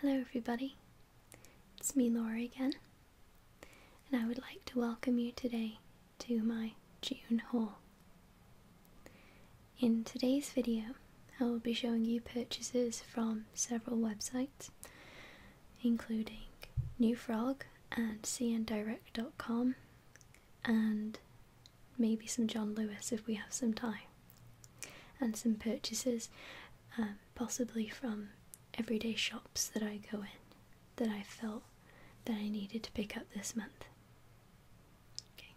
Hello, everybody. It's me, Laura, again, and I would like to welcome you today to my June haul. In today's video, I will be showing you purchases from several websites, including New Frog and cndirect.com, and maybe some John Lewis if we have some time, and some purchases um, possibly from everyday shops that I go in that I felt that I needed to pick up this month. Okay.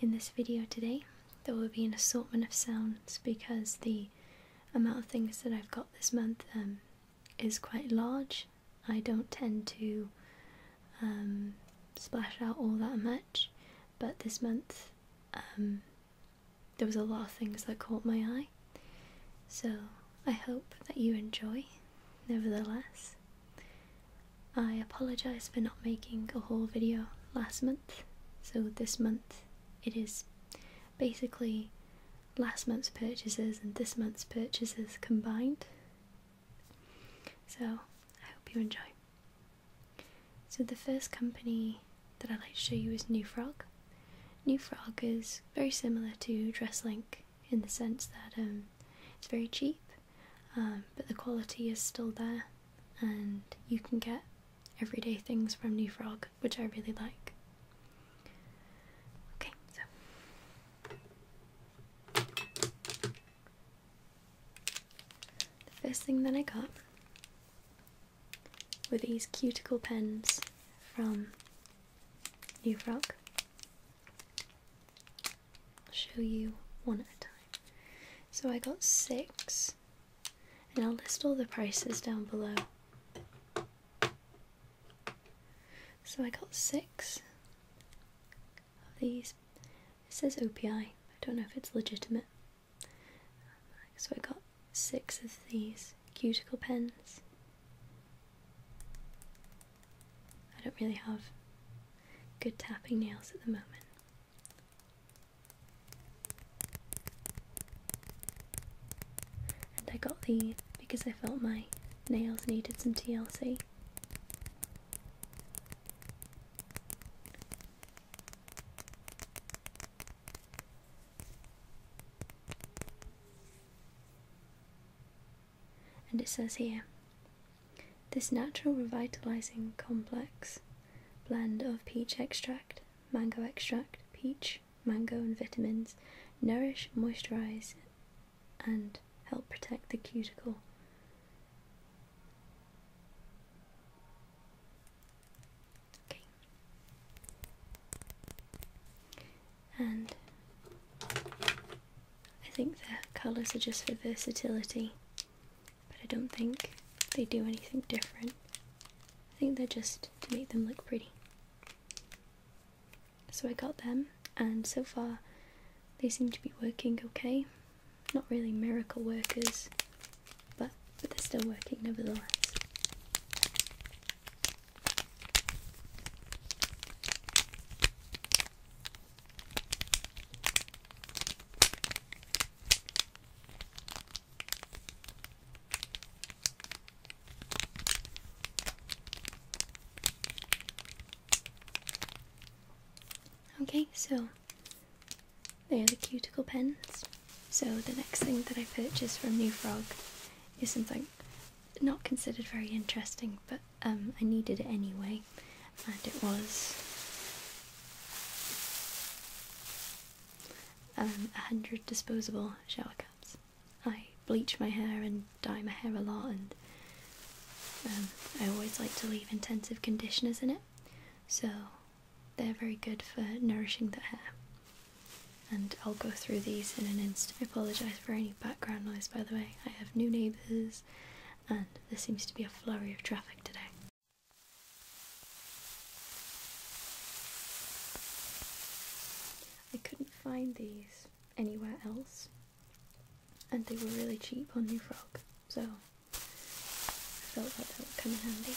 In this video today, there will be an assortment of sounds because the amount of things that I've got this month um, is quite large. I don't tend to um, splash out all that much, but this month um, there was a lot of things that caught my eye. So I hope that you enjoy, nevertheless. I apologise for not making a whole video last month, so this month it is basically last month's purchases and this month's purchases combined. So I hope you enjoy. So the first company that I'd like to show you is New Frog. New Frog is very similar to Dresslink in the sense that um, it's very cheap, um, but the quality is still there, and you can get everyday things from New Frog, which I really like. Okay, so. The first thing that I got with these cuticle pens from New Frog. I'll show you one at a time. So I got six, and I'll list all the prices down below. So I got six of these. It says OPI, I don't know if it's legitimate. So I got six of these cuticle pens. I don't really have good tapping nails at the moment. And I got these because I felt my nails needed some TLC. And it says here this natural revitalizing complex blend of peach extract, mango extract, peach, mango, and vitamins nourish, moisturize, and help protect the cuticle. Okay. And I think the colours are just for versatility, but I don't think they do anything different. I think they're just to make them look pretty. So I got them, and so far they seem to be working okay. Not really miracle workers, but but they're still working nevertheless. Okay, so they are the cuticle pens. So the next thing that I purchased from New Frog is something not considered very interesting, but um, I needed it anyway, and it was um, 100 disposable shower caps. I bleach my hair and dye my hair a lot, and um, I always like to leave intensive conditioners in it, so they're very good for nourishing the hair. And I'll go through these in an instant. I apologise for any background noise, by the way. I have new neighbours, and there seems to be a flurry of traffic today. I couldn't find these anywhere else, and they were really cheap on New Frog, so I thought that would come in handy.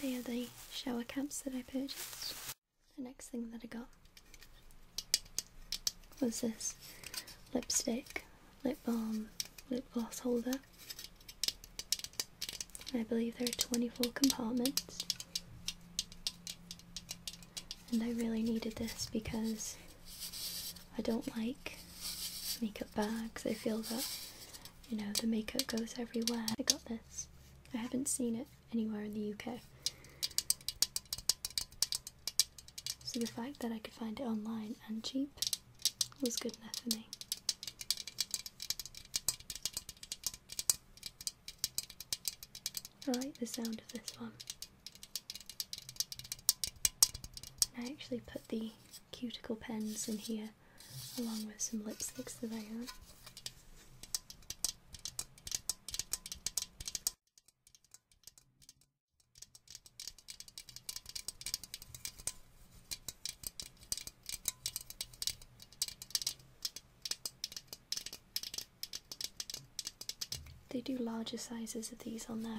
They are the shower caps that I purchased. The next thing that I got was this lipstick, lip balm, lip gloss holder. I believe there are 24 compartments. And I really needed this because I don't like makeup bags. I feel that you know, the makeup goes everywhere. I got this. I haven't seen it anywhere in the UK. So the fact that I could find it online and cheap was good enough for me. I like the sound of this one. I actually put the cuticle pens in here along with some lipsticks that I own. They do larger sizes of these on there.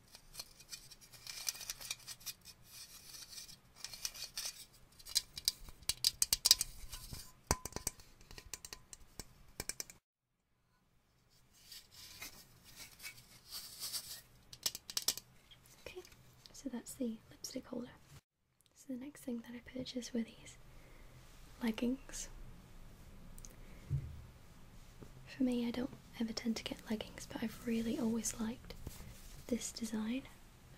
Okay, so that's the lipstick holder. So the next thing that I purchased were these leggings. For me, I don't ever tend to get leggings, but I've really always liked this design.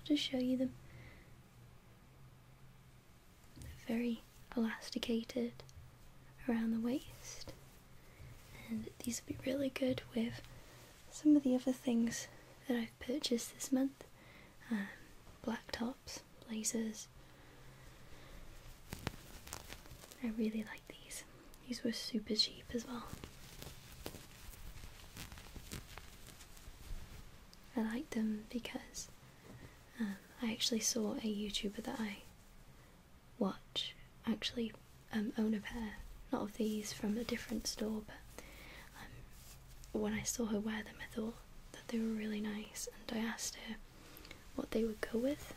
I'll just show you them. They're very elasticated around the waist, and these would be really good with some of the other things that I've purchased this month um, black tops, blazers. I really like these. These were super cheap as well. I liked them because um, I actually saw a YouTuber that I watch actually um, own a pair, not of these from a different store, but um, when I saw her wear them, I thought that they were really nice, and I asked her what they would go with,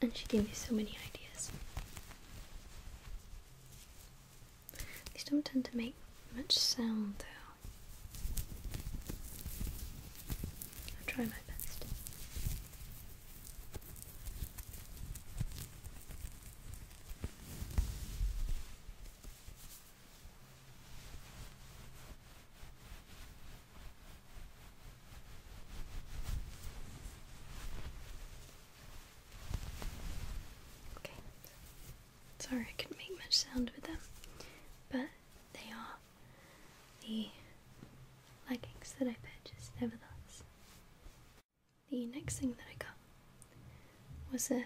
and she gave me so many ideas. These don't tend to make much sound though. I'll try my best. Sorry I couldn't make much sound with them, but they are the leggings that I purchased nevertheless. The next thing that I got was a,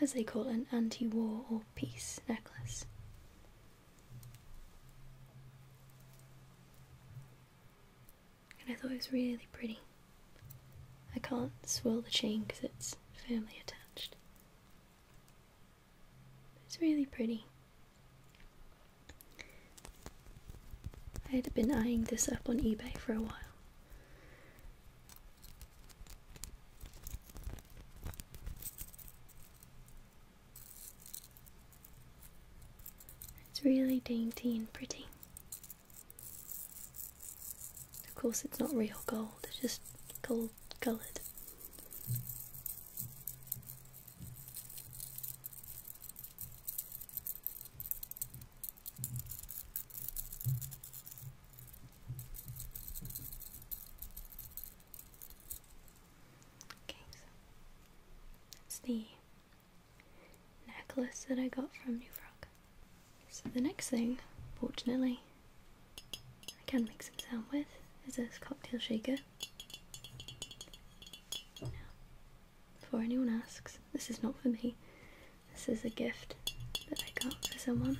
as they call it, an anti war or peace necklace. And I thought it was really pretty. I can't swirl the chain because it's firmly attached. It's really pretty. I had been eyeing this up on eBay for a while. It's really dainty and pretty. Of course, it's not real gold, it's just gold coloured. Okay, so that's the necklace that I got from New Frog. So the next thing, fortunately, I can make some sound with is this cocktail shaker. Now, before anyone asks, this is not for me. This is a gift that I got for someone.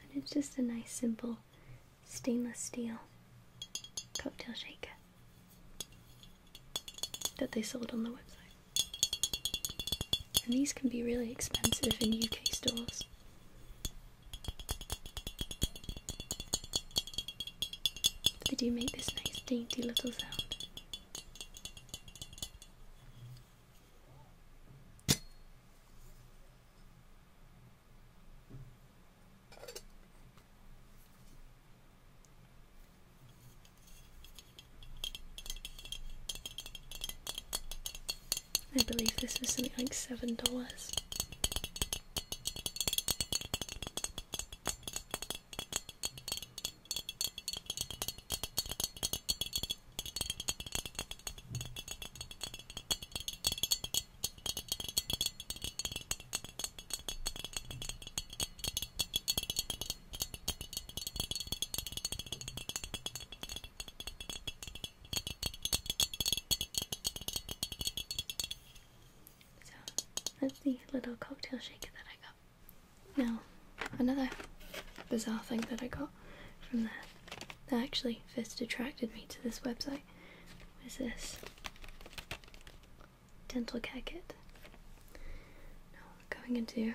And it's just a nice simple beautiful stainless steel cocktail shaker that they sold on the website. And these can be really expensive in UK stores. they do make this nice dainty little sound. I believe this was something like seven dollars. So that's the little cocktail shaker that I got. Now, another bizarre thing that I got from there that actually first attracted me to this website. was this? Dental care kit. Now, going into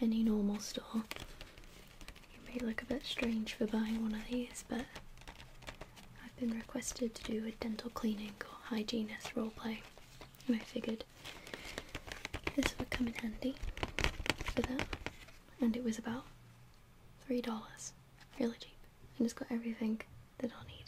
any normal store, it may look a bit strange for buying one of these, but I've been requested to do a dental cleaning or hygienist role play, and I figured this would come in handy for that. And it was about Three dollars. Really cheap. And it's got everything that i need.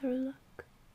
Thorough look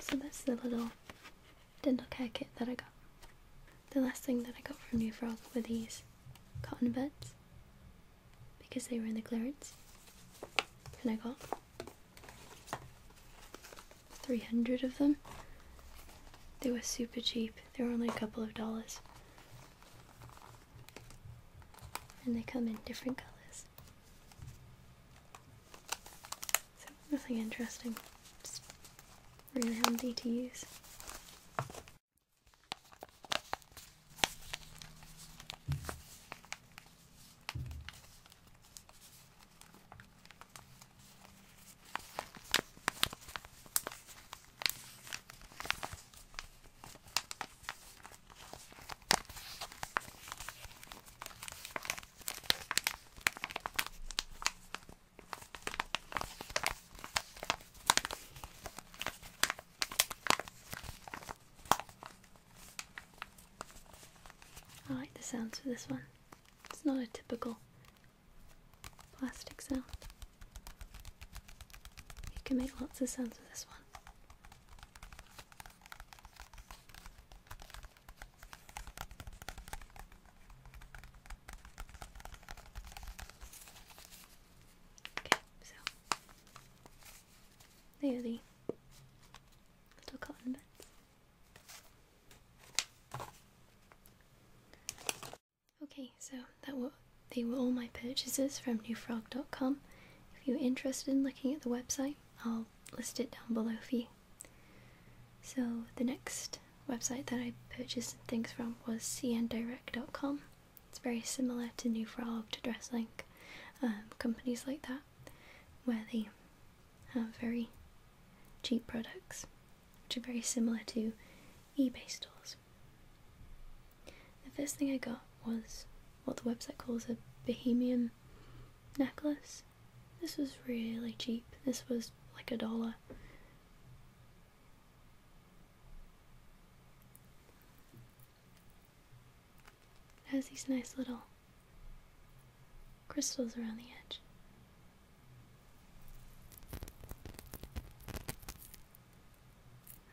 So that's the little dental care kit that I got. The last thing that I got from New Frog were these cotton buds because they were in the clearance. And I got 300 of them. They were super cheap. They were only a couple of dollars. And they come in different colors. So, nothing interesting. Just really handy to use. I like the sounds for this one. It's not a typical plastic sound. You can make lots of sounds with this one. Okay, so they are the little cotton bits. Okay, so that were, they were all my purchases from newfrog.com. If you're interested in looking at the website, I'll list it down below for you. So the next website that I purchased things from was cndirect.com. It's very similar to Newfrog to Dresslink, um, companies like that, where they have very cheap products, which are very similar to eBay stores. The first thing I got was what the website calls a bohemian necklace. This was really cheap. This was like a dollar. It has these nice little crystals around the edge.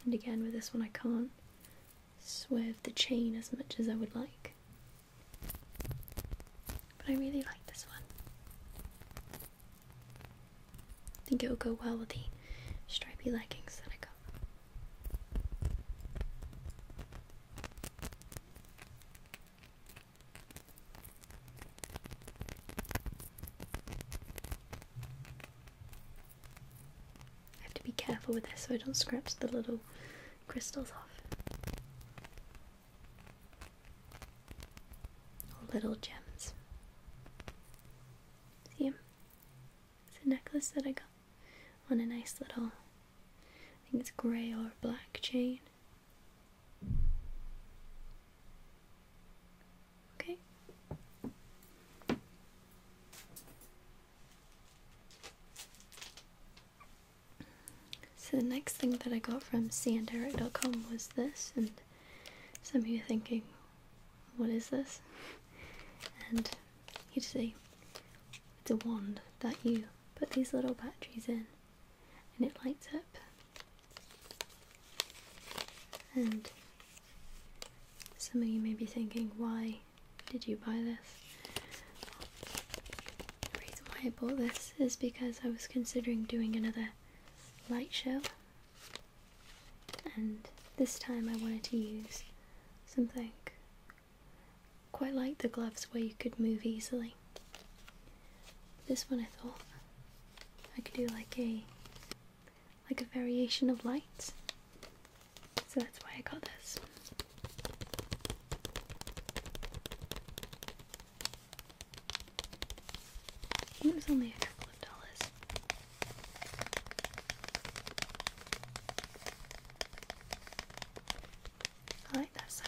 And again with this one I can't swerve the chain as much as I would like. But I really like this one. I think it will go well with the stripy leggings that I got. I have to be careful with this so I don't scratch the little crystals off. little gems. See them? It's a necklace that I got on a nice little, I think it's grey or black chain. Okay. So the next thing that I got from sandarite.com was this, and some of you thinking, what is this? And you see, it's a wand that you put these little batteries in, and it lights up. And some of you may be thinking, why did you buy this? The reason why I bought this is because I was considering doing another light show, and this time I wanted to use something quite like the gloves where you could move easily. This one I thought I could do like a like a variation of lights, So that's why I got this. it was only a couple of dollars. I like that sound.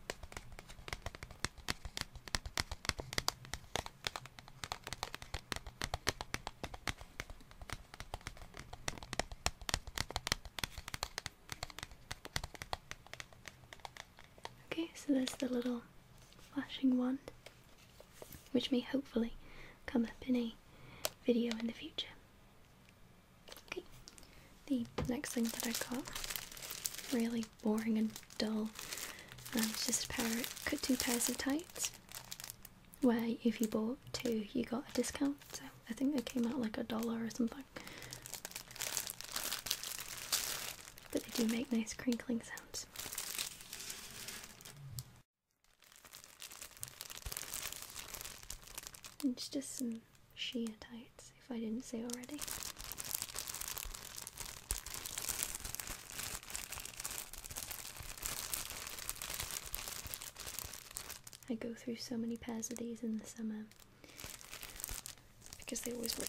Okay, so there's the little flashing wand, which may hopefully come up in a video in the future. Okay, the next thing that I got really boring and dull. And um, it's just a pair of two pairs of tights, where if you bought two, you got a discount. So I think they came out like a dollar or something. But they do make nice crinkling sounds. And it's just some sheer tights, if I didn't say already. I go through so many pairs of these in the summer because they always rip.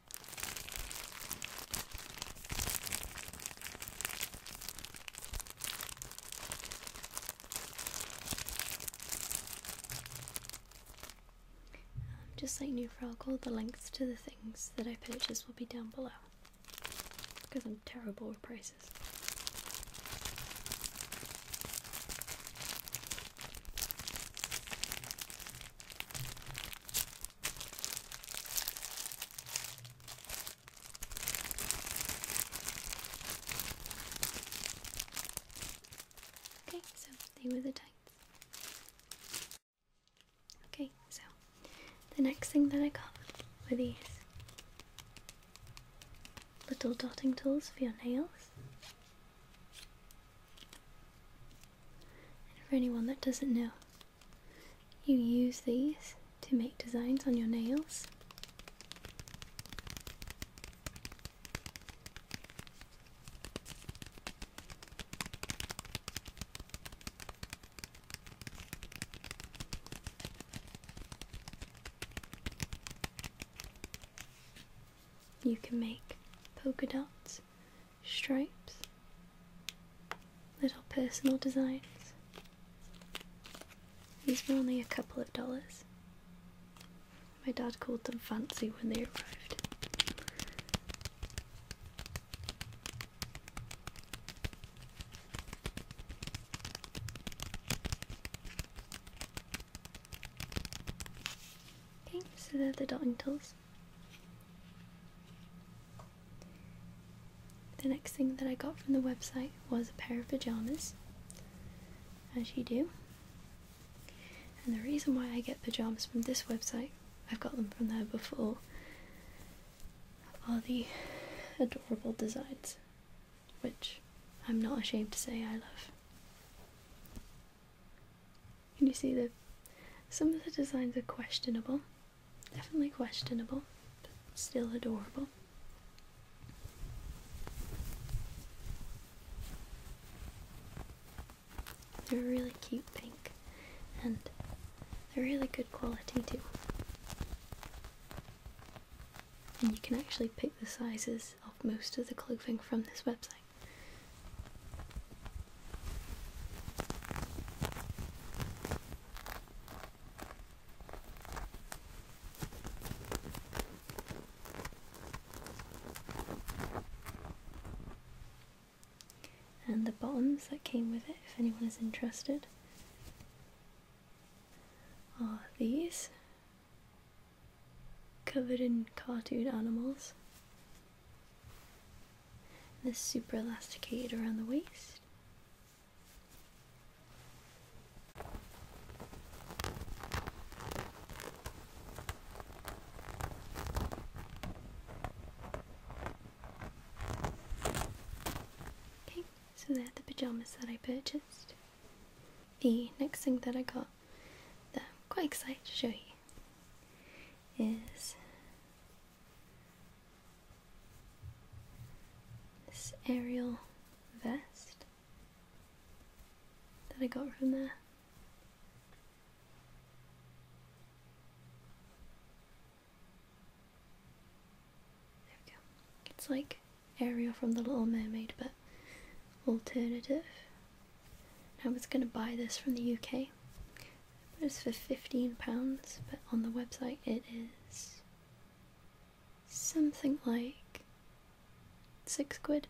Um, just like New Froggle, the links to the things that I purchased will be down below. Because I'm terrible with prices. Okay, so they were the tights. Okay, so the next thing that I got were these little dotting tools for your nails. And for anyone that doesn't know, you use these to make designs on your nails. You can make polka dots stripes, little personal designs. These were only a couple of dollars. My dad called them fancy when they arrived. Okay, so they're the dotting tools. The next thing that I got from the website was a pair of pajamas, as you do. And the reason why I get pajamas from this website, I've got them from there before, are the adorable designs, which I'm not ashamed to say I love. Can you see that some of the designs are questionable, Definitely questionable, but still adorable. They're really cute pink and they're really good quality too. And you can actually pick the sizes of most of the clothing from this website. And the bottoms that came with it, if anyone is interested, are these covered in cartoon animals this super elasticated around the waist. Okay, so there are the pajamas that I purchased. The next thing that I got that I'm quite excited to show you is this aerial vest that I got from there. There we go. It's like Ariel from The Little Mermaid, but alternative. I was going to buy this from the UK, but it's for fifteen pounds, but on the website it is something like six quid.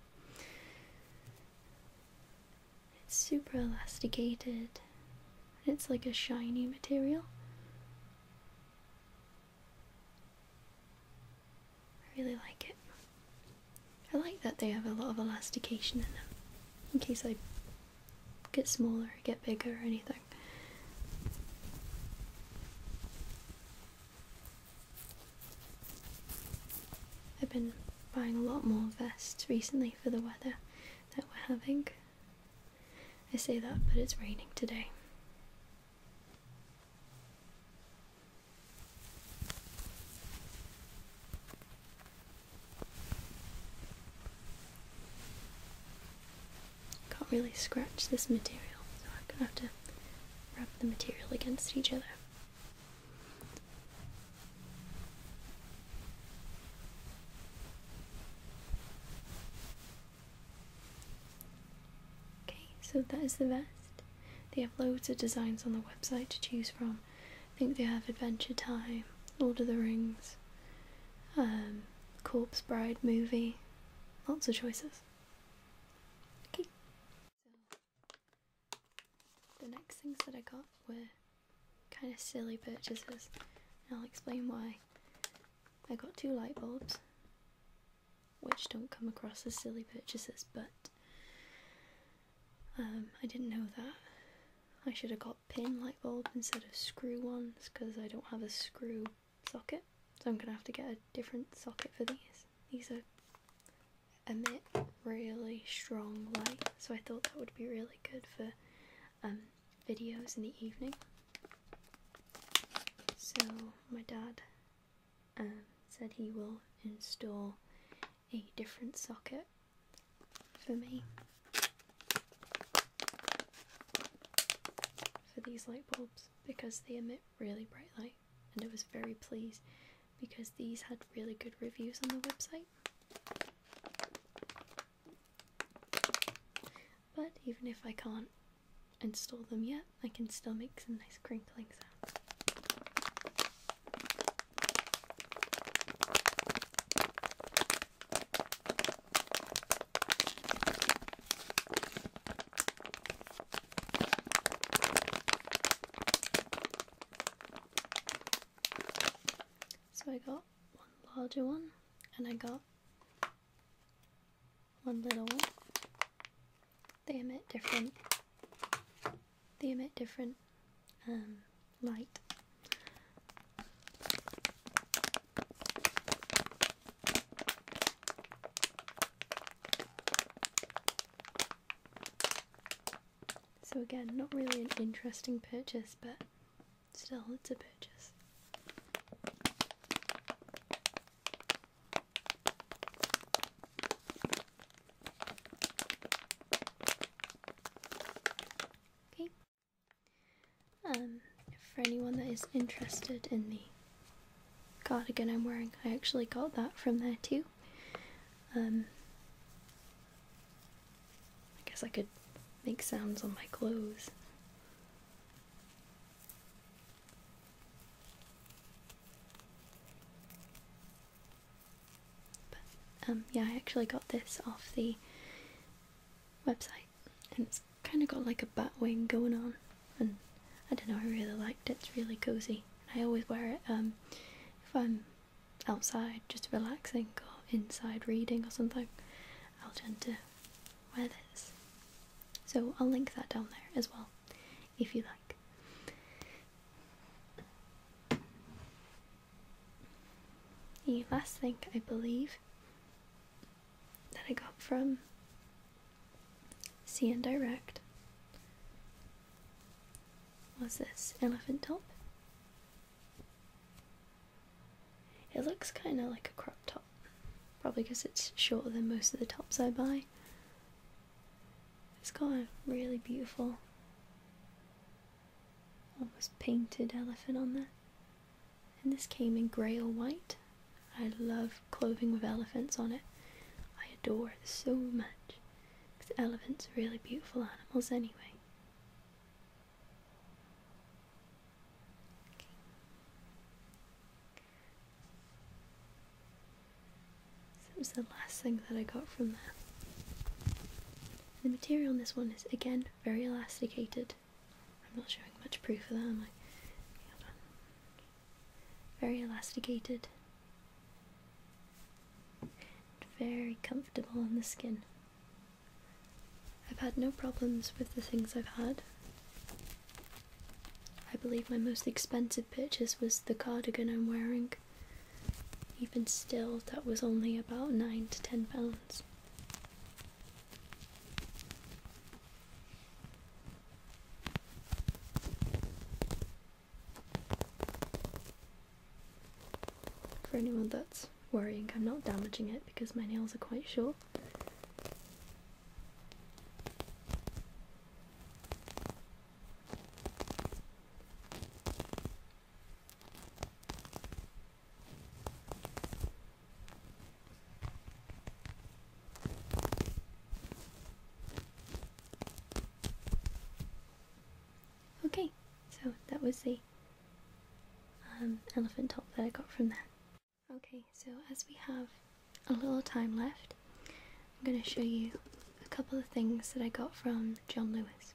It's super elasticated. It's like a shiny material. I really like it. I like that they have a lot of elastication in them. In case I get smaller, get bigger, or anything. I've been buying a lot more vests recently for the weather that we're having. I say that, but it's raining today. Can't really scratch this material, so I'm gonna have to rub the material against each other. Okay, so that is the vest. They have loads of designs on the website to choose from. I think they have Adventure Time, Lord of the Rings, um, Corpse Bride movie. Lots of choices. Okay. the next things that I got were kind of silly purchases, and I'll explain why. I got two light bulbs, which don't come across as silly purchases, but um, I didn't know that. I should have got pin light bulb instead of screw ones because I don't have a screw socket. So I'm going to have to get a different socket for these. These are emit really strong light so I thought that would be really good for um, videos in the evening. So my dad um, said he will install a different socket for me for these light bulbs because they emit really bright light and I was very pleased because these had really good reviews on the website. But even if I can't install them yet, I can still make some nice crinkling sounds. So I got one larger one and I got one little one. They emit different they emit different um light. So again, not really an interesting purchase, but still, it's a purchase. Okay, um, for anyone that is interested in the cardigan I'm wearing, I actually got that from there too. Um, I guess I could make sounds on my clothes. Um, yeah, I actually got this off the website and it's kind of got like a bat wing going on and I don't know I really liked it it's really cozy I always wear it um, if I'm outside just relaxing or inside reading or something I'll tend to wear this so I'll link that down there as well if you like the last thing I believe that I got from CN Direct was this elephant top. It looks kind of like a crop top, probably because it's shorter than most of the tops I buy. It's got a really beautiful, almost painted elephant on there. And this came in grey or white. I love clothing with elephants on it. I adore it so much. Because elephants are really beautiful animals anyway. Okay. that was the last thing that I got from there. The material on this one is again very elasticated. I'm not showing much proof of that, I? Hold Very elasticated. Very comfortable on the skin. I've had no problems with the things I've had. I believe my most expensive purchase was the cardigan I'm wearing. Even still, that was only about nine to ten pounds. For anyone that's worrying, I'm not damaging it because my nails are quite short. Okay, so that was the um, elephant top that I got from there. Okay, so as we have a little time left, I'm going to show you a couple of things that I got from John Lewis.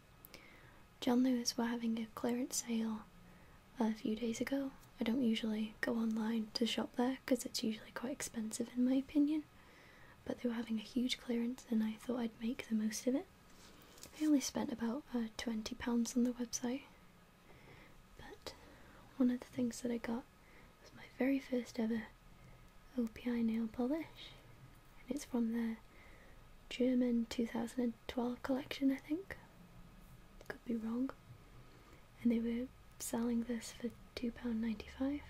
John Lewis were having a clearance sale a few days ago. I don't usually go online to shop there because it's usually quite expensive in my opinion, but they were having a huge clearance and I thought I'd make the most of it. I only spent about uh, £20 on the website, but one of the things that I got was my very first ever OPI nail polish, and it's from their German 2012 collection, I think. Could be wrong and they were selling this for £2.95 and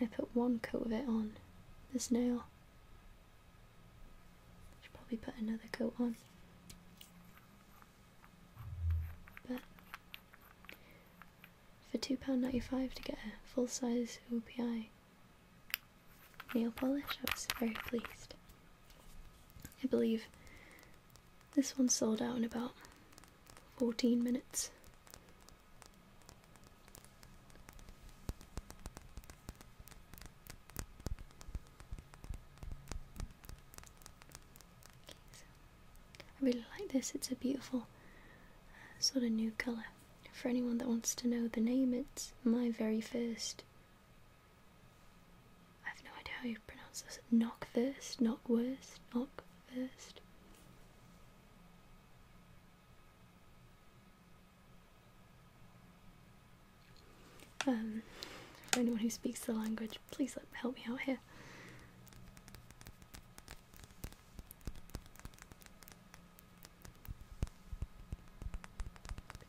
I put one coat of it on this nail should probably put another coat on but for £2.95 to get a full size OPI nail polish I was very pleased I believe this one sold out in about 14 minutes. I really like this, it's a beautiful uh, sort of new colour. For anyone that wants to know the name, it's my very first I have no idea how you pronounce this. Knock first, Knockfist, Knockwurst, Knockfist. Um, for anyone who speaks the language, please help me out here.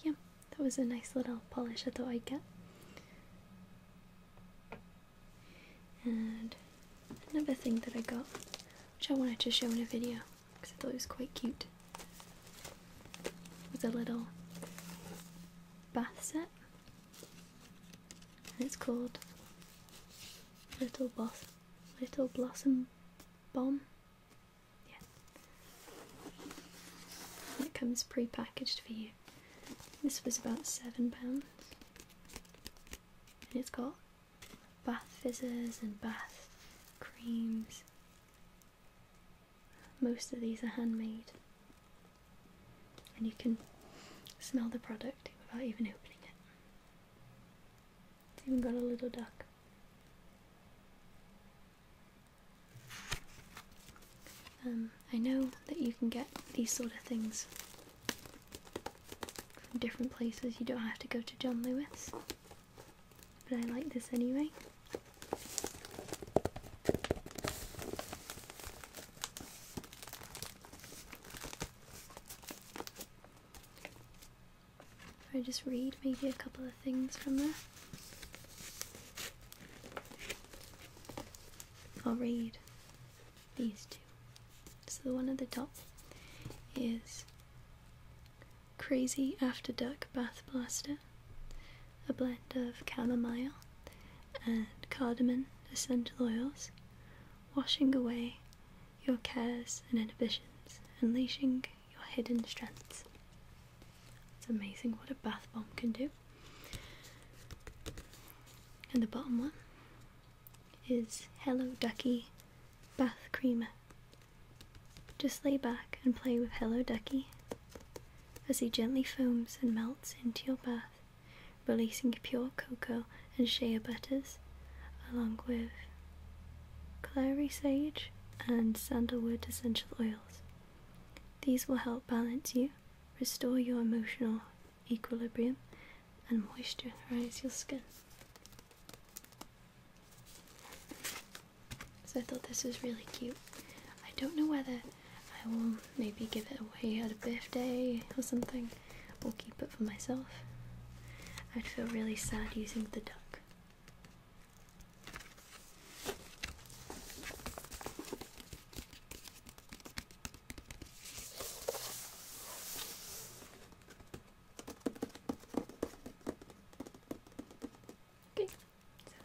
yeah, that was a nice little polish I thought I'd get. And another thing that I got, which I wanted to show in a video because I thought it was quite cute, was a little bath set. And it's called Little Boss Little Blossom Bomb. Yeah. it comes pre-packaged for you. This was about £7 and it's got bath fizzers and bath creams. Most of these are handmade and you can smell the product without even opening it. It's even got a little duck. Um, I know that you can get these sort of things from different places. You don't have to go to John Lewis, but I like this anyway. I just read maybe a couple of things from there. I'll read these two. So the one at the top is Crazy After Dark Bath Blaster, a blend of chamomile and cardamom essential oils, washing away your cares and inhibitions, unleashing your hidden strengths. It's amazing what a bath bomb can do. And the bottom one is Hello Ducky Bath Cream. Just lay back and play with Hello Ducky as he gently foams and melts into your bath, releasing pure cocoa and shea butters, along with clary sage and sandalwood essential oils. These will help balance you restore your emotional equilibrium, and moisturize your skin. So I thought this was really cute. I don't know whether I will maybe give it away at a birthday or something, or keep it for myself. I'd feel really sad using the duck. Okay, so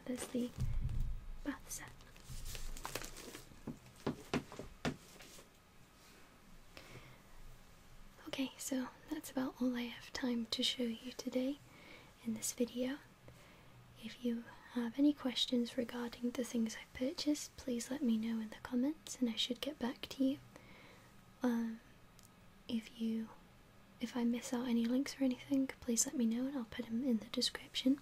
there's the bath set. Okay, so that's about all I have time to show you today in this video. If you have any questions regarding the things i purchased, please let me know in the comments and I should get back to you. Um, if you if I miss out any links or anything, please let me know and I'll put them in the description.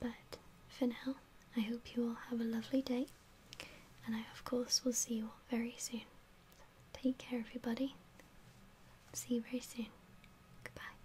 But for now, I hope you all have a lovely day and I of course will see you all very soon. Take care everybody. See you very soon. Goodbye.